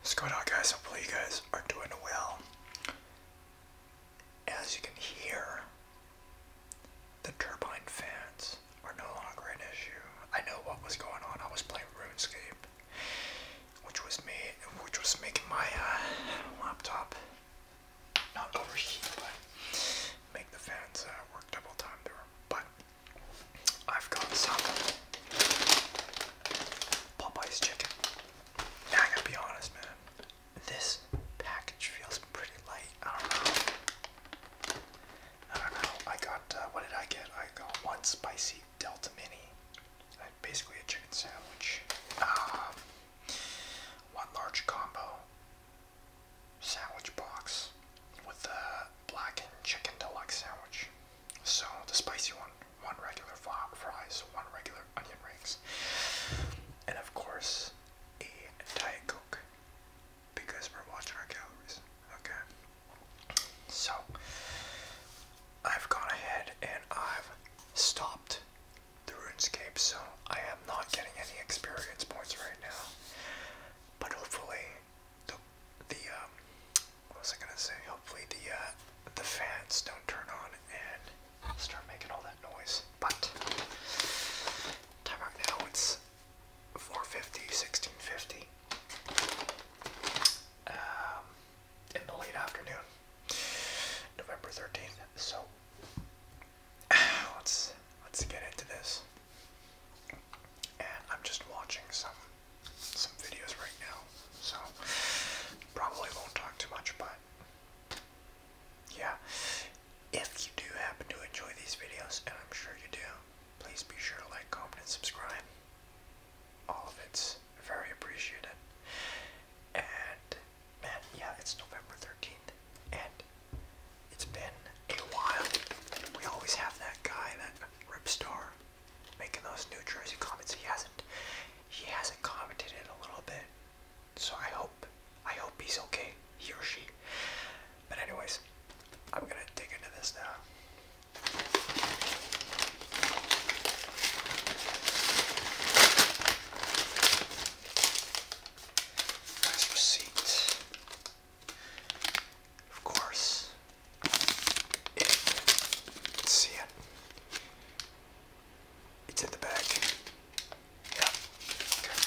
What's going on guys? Hopefully you guys are doing well. As you can hear, the turbine fans are no longer an issue. I know what was going on. I was playing RuneScape, which was me, which was making my uh, laptop not overheat, but make the fans uh, work double time. But I've got some Popeye's chicken. Now I gotta be honest, man. This package feels pretty light. I don't know. I don't know. I got uh, what did I get? I got one spicy Delta Mini. Uh, basically a chicken sandwich. Um, one large combo sandwich box with the blackened chicken deluxe sandwich. So the spicy one, one regular fries, one regular onion rings, and of course a diet coke because we're watching our calories. Okay. So I've gone ahead and I've stopped the RuneScape zone I am not getting any experience points right now, but hopefully the the um, what was I gonna say? Hopefully the uh, the fans don't turn on and start making all that noise. But time right now it's 450, 1650 um, in the late afternoon, November 13th. So let's let's get into this. And I'm just watching some some videos right now, so probably won't talk too much, but yeah. If you do happen to enjoy these videos, and I'm sure you do, please be sure to like, comment, and subscribe. All of it's very appreciated. And man, yeah, it's November 13th, and it's been a while. We always have that guy, that Rip Star, making those New Jersey comments. He hasn't, he hasn't commented in a little bit, so I hope, I hope he's okay, he or she. But anyways, I'm gonna dig into this now. Nice receipt. Of course. Let's see it. It's in the bag. Yeah. Okay.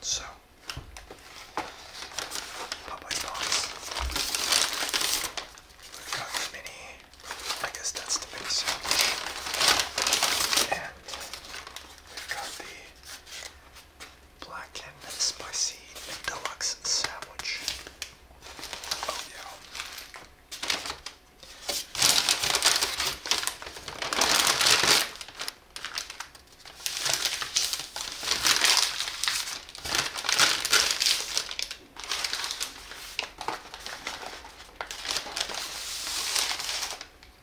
So, Popeye's box. We've got the mini. I guess that's the mini sandwich. And we've got the black and spicy deluxe sandwich. Oh yeah.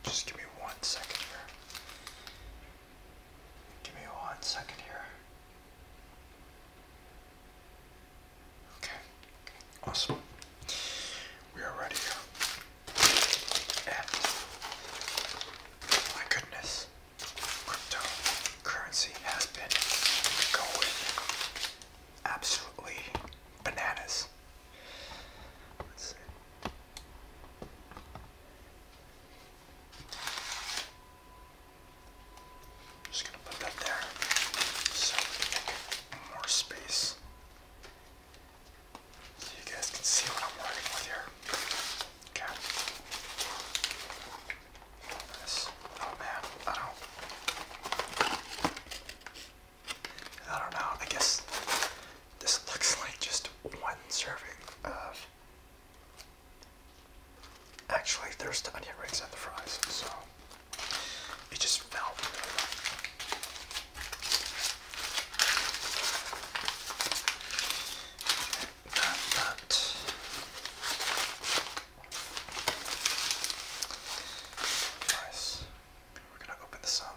Just give me one second here. Give me one second here. Okay, awesome. We are ready here. And my goodness cryptocurrency has been going absolutely bananas. Let's see. Just gonna put that there so more space. So you guys can see what I'm working with here. Okay. This, oh man, I don't. I don't know. I guess this looks like just one serving of. Actually, there's the onion rings and the fries, so it just fell that, that. Nice. We're going to open this up.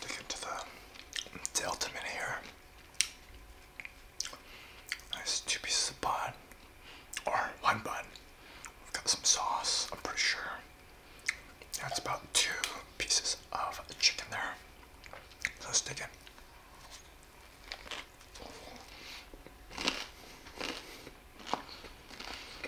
To get the delta here. Nice two pieces of bun. Or one bun. We've got some sauce, I'm pretty sure. That's about two pieces of chicken there. let's dig in.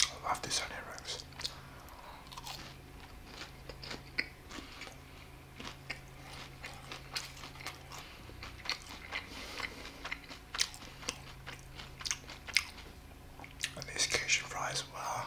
I love this onion rings. And these Cajun fries, wow.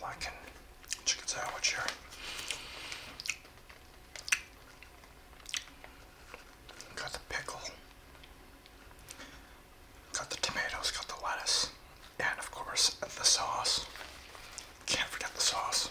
Black and chicken sandwich here. Got the pickle. Got the tomatoes, got the lettuce, and of course the sauce. Can't forget the sauce.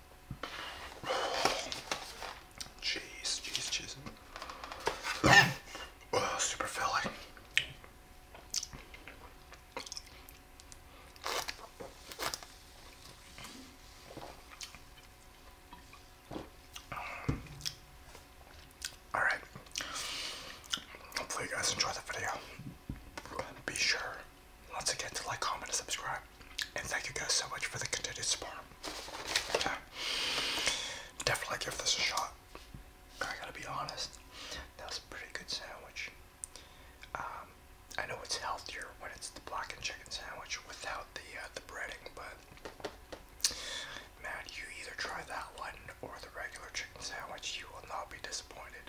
Jeez, jeez, cheese. oh, super filling. All right. Hopefully you guys enjoy the video be sure once again to like, comment, and subscribe. And thank you guys so much for the continued support. Definitely give this a shot. I gotta be honest, that was a pretty good sandwich. Um, I know it's healthier when it's the blackened chicken sandwich without the uh, the breading, but man, you either try that one or the regular chicken sandwich, you will not be disappointed.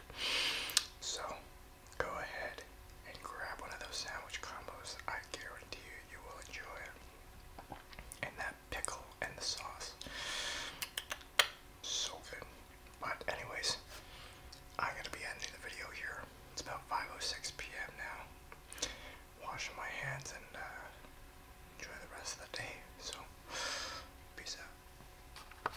So Go ahead and grab one of those sandwich combos. I guarantee you, you will enjoy it. And that pickle and the sauce. So good. But anyways, I'm gonna be ending the video here. It's about 5:06 p.m. now. Washing my hands and uh, enjoy the rest of the day. So, peace out.